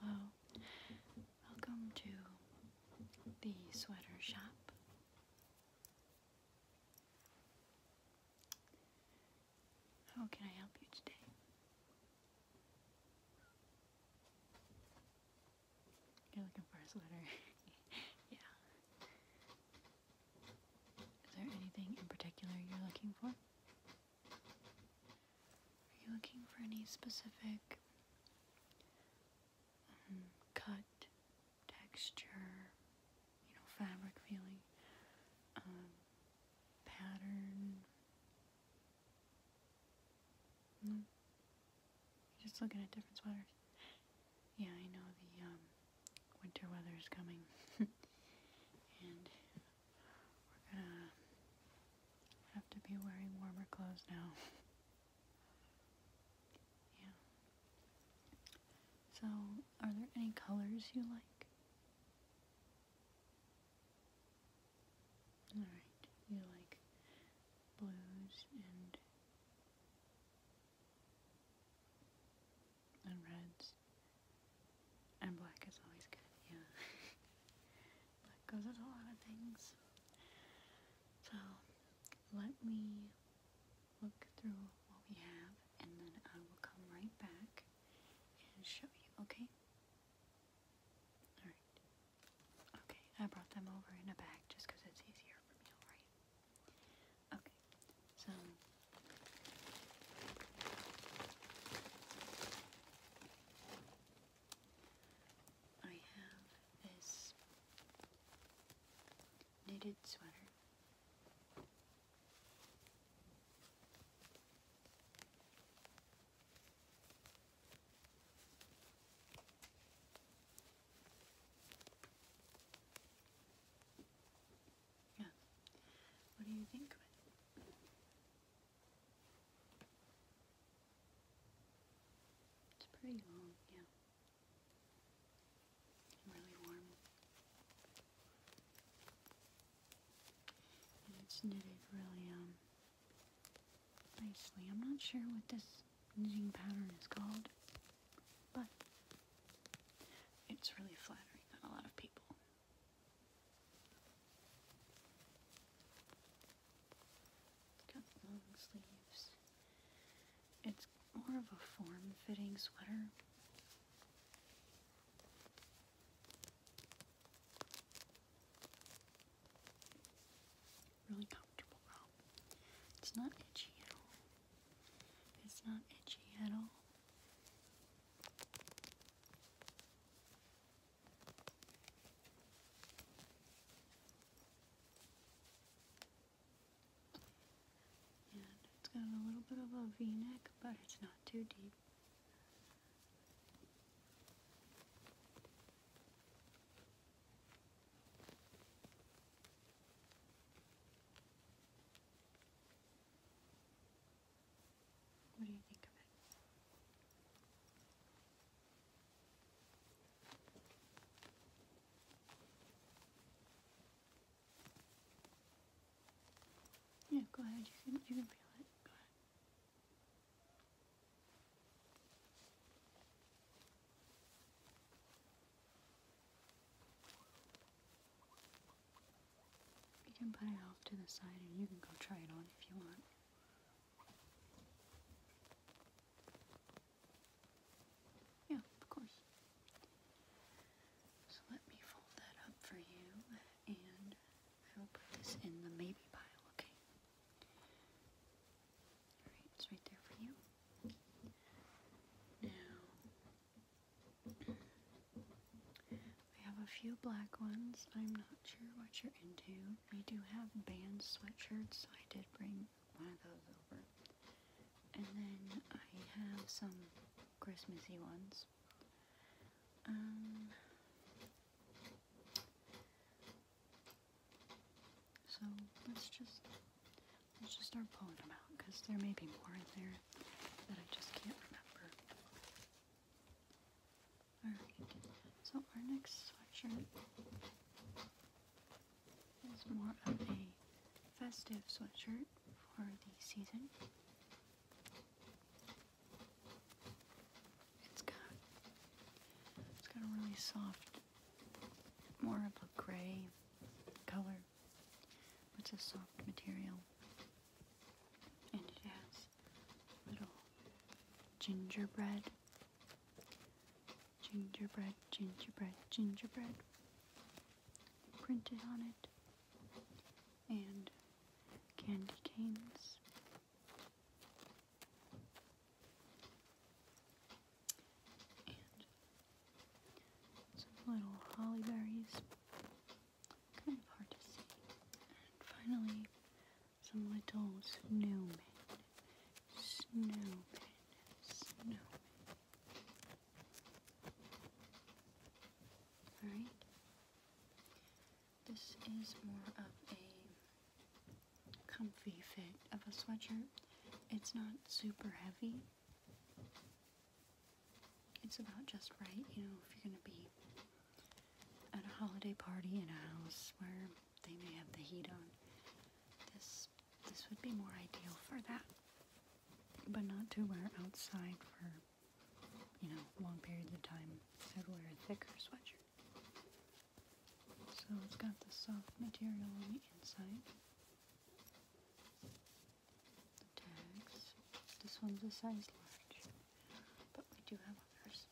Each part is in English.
Hello, welcome to the sweater shop. How can I help you today? You're looking for a sweater. yeah. Is there anything in particular you're looking for? Are you looking for any specific um, cut, texture, you know, fabric feeling, um, pattern? Just looking at different sweaters. Yeah, I know the um, winter weather is coming. and we're gonna have to be wearing warmer clothes now. yeah. So, are there any colors you like? Alright, you like blues and reds. And black is always good, yeah. black goes with a lot of things. So let me look through what we have and then I will come right back and show you, okay? Alright. Okay, I brought them over in a bag just because it's easier for me, alright? Okay, so I have this knitted sweater. Yeah. What do you think It's pretty long, yeah. really warm. it's knitted really um nicely. I'm not sure what this knitting pattern is called, but it's really flattering on a lot of people. It's got long sleeves. It's more of a form-fitting sweater. Really comfortable It's not itchy at all. It's not itchy at all. And it's got a little bit of a v-neck, but it's not too deep. What do you think of it? Yeah, go ahead. You can you can feel it. You can put it off to the side and you can go try it on if you want. Yeah, of course. So let me fold that up for you and I will put this in the maybe pile, okay? it's right there for you. Now, I have a few black ones. I'm not sure what you're into. We do have band sweatshirts, so I did bring one of those over. And then I have some Christmassy ones. Um, so let's just let's just start pulling them out because there may be more in there that I just can't remember. Alright, so our next sweatshirt is more of a festive sweatshirt for the season. It's got it's got a really soft more of a gray color. It's a soft material. And it has little gingerbread. Gingerbread, gingerbread, gingerbread printed on it. And candy canes and some little holly berries. Kind of hard to see. And finally, some little snowmen. Snowmen. Snowmen. Alright. This is more of a comfy fit of a sweatshirt. It's not super heavy. It's about just right, you know, if you're going to be at a holiday party in a house where they may have the heat on. This this would be more ideal for that. But not to wear outside for, you know, long periods of time. So wear a thicker sweatshirt. So it's got the soft material on the inside. The tags. This one's a size large, but we do have others.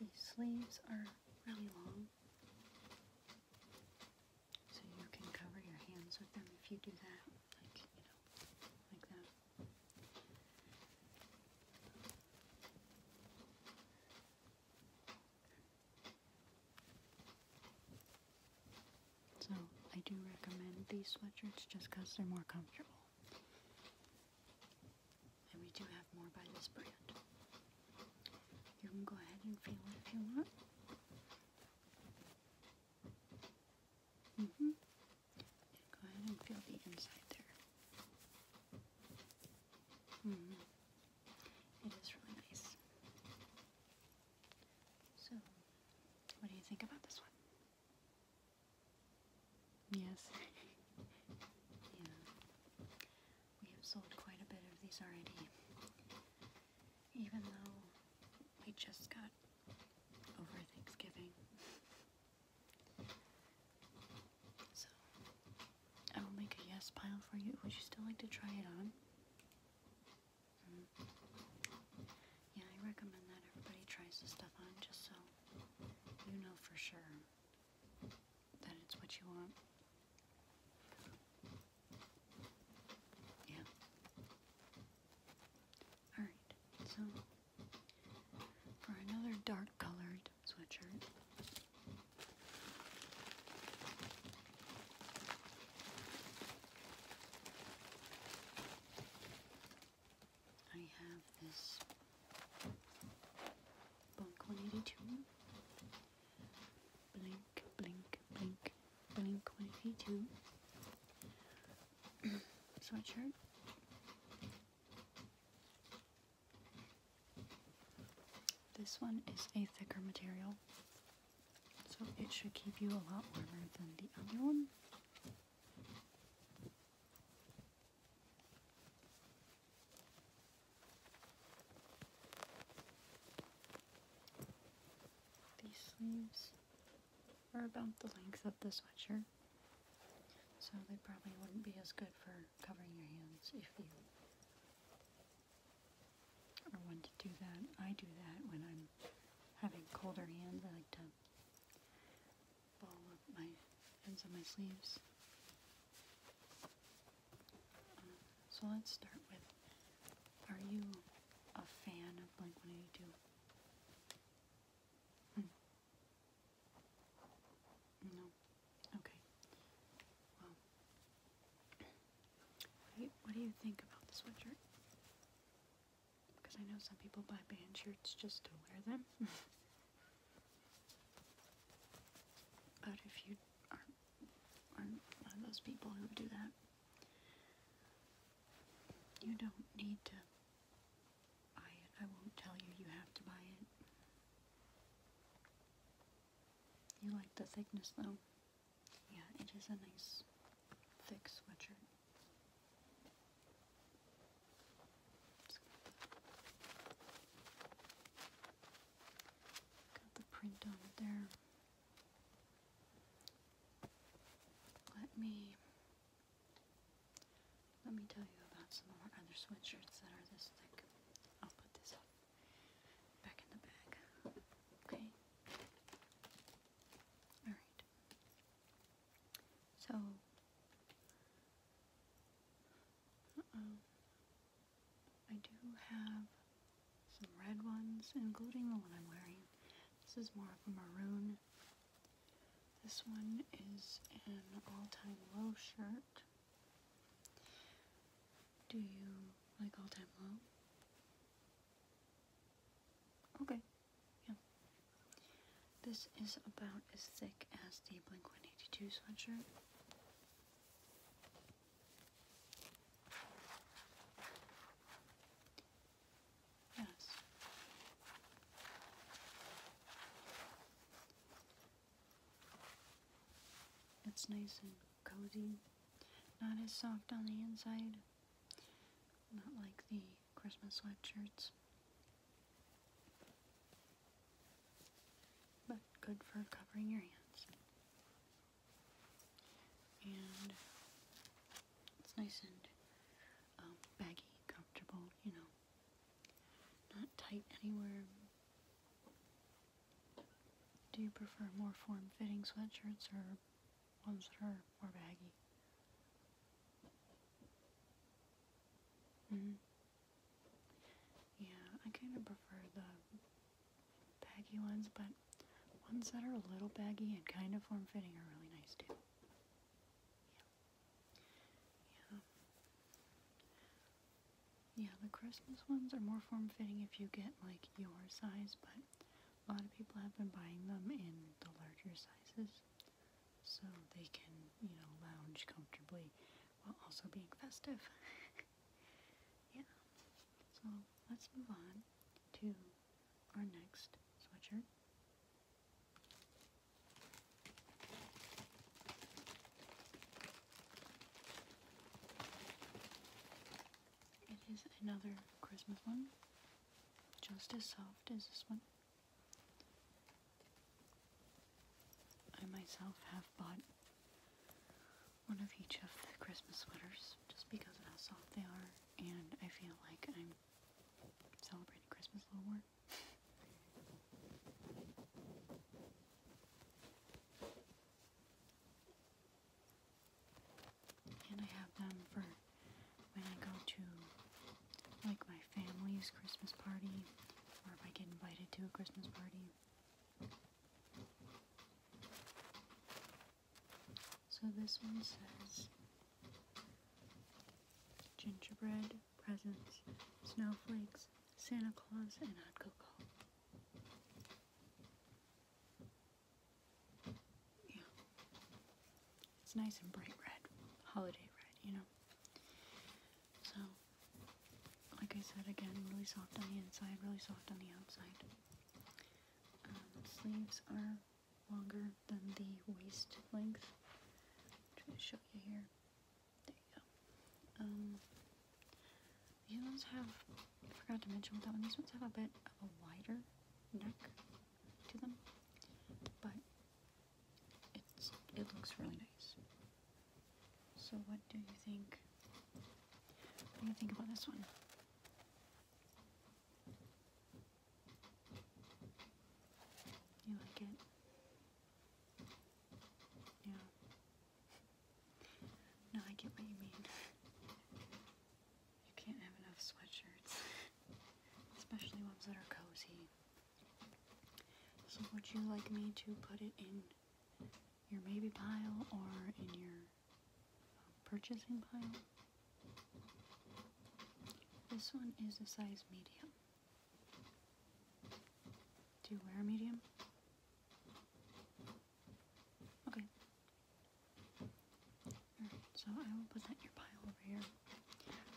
These sleeves are really long. So you can cover your hands with them if you do that, like, you know, like that. So I do recommend these sweatshirts just because they're more comfortable. And we do have more by this brand. You can go ahead and feel it if you want. hmm Go ahead and feel the inside there. -hmm. It is really nice. So, what do you think about this one? Yes. yeah. We have sold quite a bit of these already. Even though we just got over Thanksgiving. So, I will make a yes pile for you. Would you still like to try it on? Hmm. Yeah, I recommend that everybody tries the stuff on just so you know for sure that it's what you want. Yeah. Alright, so for another dark colored sweatshirt. I have this Bunk 182 Blink, blink, blink, blink 182. Sweatshirt. This one is a thicker material, so it should keep you a lot warmer than the other one. These sleeves are about the length of the sweatshirt, so they probably wouldn't be as good for covering your hands if you or want to do that. I do that when I'm having colder hands. I like to ball up my ends on my sleeves. So let's start with Are you a fan of Blink 182? Hmm. No. Okay. Well, what do, you, what do you think about the sweatshirt? Because I know some people buy band shirts just to wear them. but if you aren't one of those people who do that. You don't need to buy I won't tell you you have to buy it. You like the thickness though? Yeah, it is a nice thick sweatshirt. Got the print on it there. Let me let me tell you about some of our other sweatshirts that are this thick. I'll put this back in the bag. Okay. Alright. So I do have some red ones, including the one I'm wearing. This is more of a maroon. This one is an all-time low shirt. Do you like all-time low? Okay, yeah. This is about as thick as the Blink-182 sweatshirt. Yes. It's nice and cozy. Not as soft on the inside. Not like the Christmas sweatshirts. But good for covering your hands and it's nice and um, baggy, comfortable, you know, not tight anywhere. Do you prefer more form-fitting sweatshirts or ones that are more baggy? Mm-hmm. Yeah, I kind of prefer the baggy ones, but ones that are a little baggy and kind of form fitting are really nice too. Yeah. Yeah. Yeah, the Christmas ones are more form fitting if you get like your size, but a lot of people have been buying them in the larger sizes so they can, you know, lounge comfortably while also being festive. yeah. So let's move on to our next sweatshirt. It is another Christmas one, just as soft as this one. I myself have bought one of each of the Christmas sweaters just because of how soft they are and I feel like I'm celebrating Christmas a little more. and I have them for when I go to like my family's Christmas party or if I get invited to a Christmas party. So this one says gingerbread, presents, snowflakes, Santa Claus, and hot cocoa. Yeah. It's nice and bright red, holiday red, you know. So, like I said again, really soft on the inside, really soft on the outside um, sleeves are longer than the waist length. I'm going to show you here. There you go. Um, these ones have, I forgot to mention that one, these ones have a bit of a wider neck to them, but it's, it looks really nice. So what do you think? What do you think about this one? You like it? Yeah. No, I get what you mean. You can't have enough sweatshirts, especially ones that are cozy. So would you like me to put it in your maybe pile or in your purchasing pile. This one is a size medium. Do you wear a medium? Okay. so I will put your pile over here.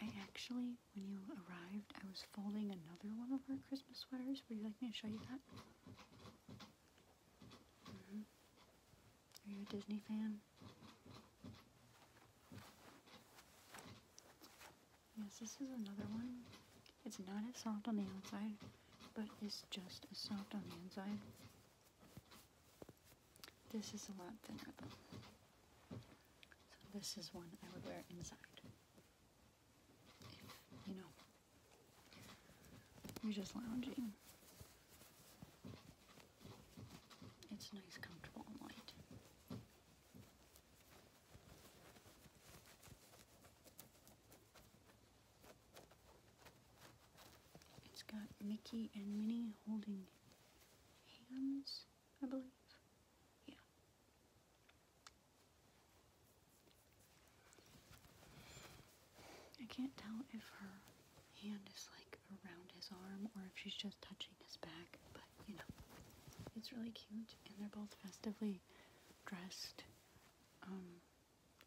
I actually, when you arrived, I was folding another one of our Christmas sweaters. Would you like me to show you that? Mm-hmm. Are you a Disney fan? Yes, this is another one. It's not as soft on the outside, but it's just as soft on the inside. This is a lot thinner though. So this is one I would wear inside. If, you know, you're just lounging. It's nice, comfortable, and light. It's got Mickey and Minnie holding hands, I believe. Yeah. I can't tell if her hand is like around his arm or if she's just touching his back, but you know, it's really cute and they're both festively dressed. Um,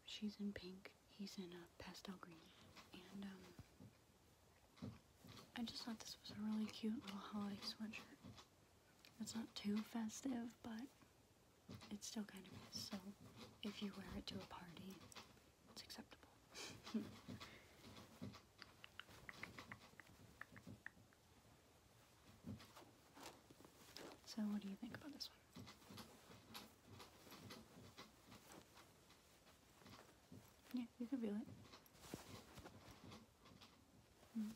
she's in pink, he's in a pastel green, and um, I just thought this was a really cute little holiday sweatshirt. It's not too festive, but it's still kind of is, so if you wear it to a party, it's acceptable. so, what do you think about this one? Yeah, you can feel it. Mm.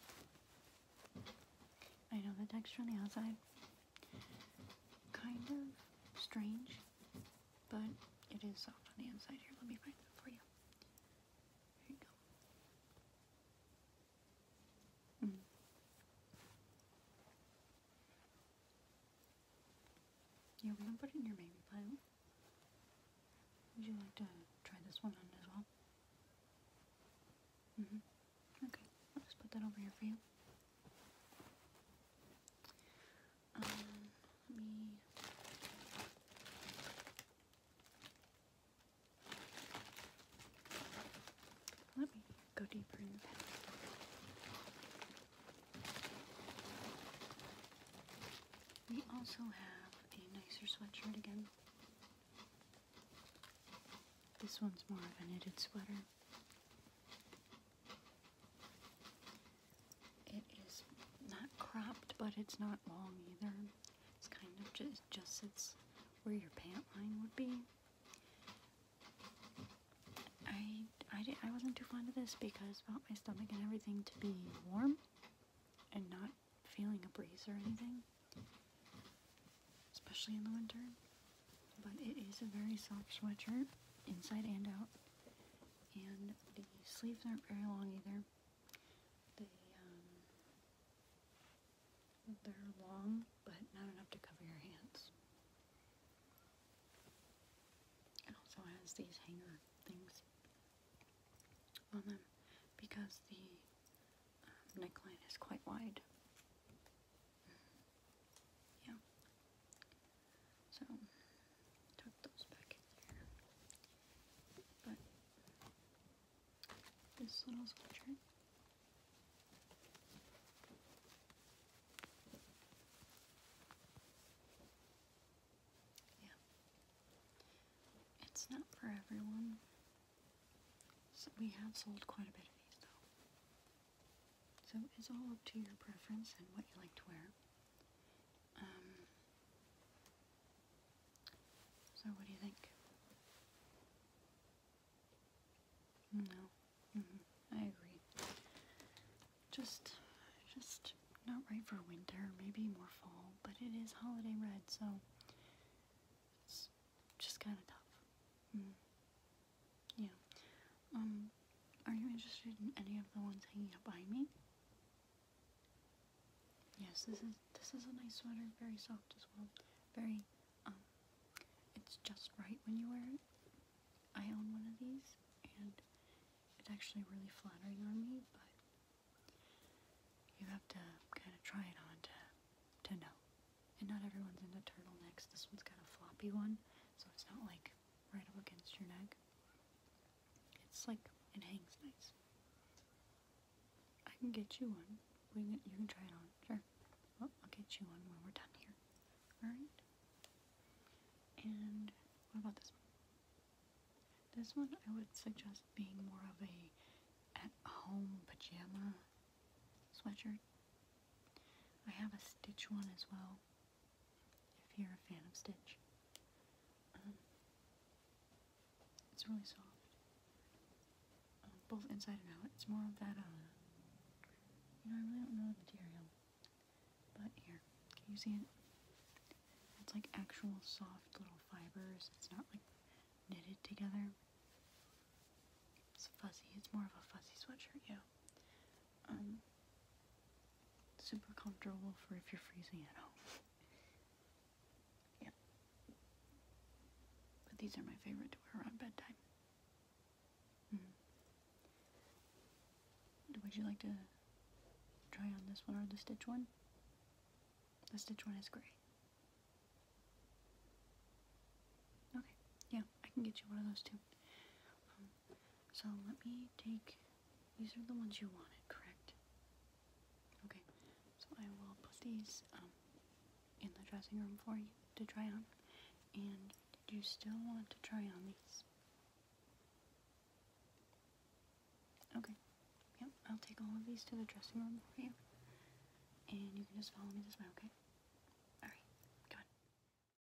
I know the texture on the outside kind of strange but it is soft on the inside here. Let me find it for you. Here you go. Mm. Yeah, we can put it in your baby pile. Would you like to try this one on as well? Mm-hmm. Okay, I'll just put that over here for you. Um, let me. go deeper in the pen. We also have a nicer sweatshirt again. This one's more of a knitted sweater. It is not cropped, but it's not long either. It's kind of just just it's where your pant line would be. I I did, I wasn't too fond of this because I my stomach and everything to be warm and not feeling a breeze or anything, especially in the winter but it is a very soft sweatshirt inside and out and the sleeves aren't very long either they are um, long but not enough to cover your hands it also has these hanger things on them because the uh, neckline is quite wide yeah. So tuck those back in there. But this little sweatshirt yeah. It's not for everyone. So we have sold quite a bit of these though. So it's all up to your preference and what you like to wear. Um, so what do you think? No, mm-hmm. I agree. Just, just not right for winter. Maybe more fall, but it is holiday red, so it's just kind of tough. Mm-hmm. Yeah. Um, are you interested in any of the ones hanging up by me? Yes, this is this is a nice sweater, very soft as well. Very um, it's just right when you wear it. I own one of these and it's actually really flattering on me, but you have to kind of try it on to to know. And not everyone's into turtlenecks. This one's got a floppy one, so it's not like right up against your neck. It's like it hangs nice. I can get you one. you can try it on. Sure. I'll get you one when we're done here. Alright? And what about this This one I would suggest being more of a at-home pajama sweatshirt. I have a stitch one as well if you're a fan of Stitch. Um, it's really soft, um, both inside and out. It's more of that, uh, you know, I really don't know the material, but here, can you see it? It's like actual soft little fibers. It's not like knitted together. It's fuzzy. It's more of a fuzzy sweatshirt, yeah um, super comfortable for if you're freezing at home. yep. But these are my favorite to wear around bedtime. Hmm. Would you like to try on this one or the stitch one? The stitch one is gray. Okay, yeah, I can get you one of those too. Um, so let me take, these are the ones you wanted, correct? Okay, so I will put these um, in the dressing room for you to try on. And do you still want to try on these? Okay, yep, I'll take all of these to the dressing room for you. And you can just follow me this way, okay? Alright, got it.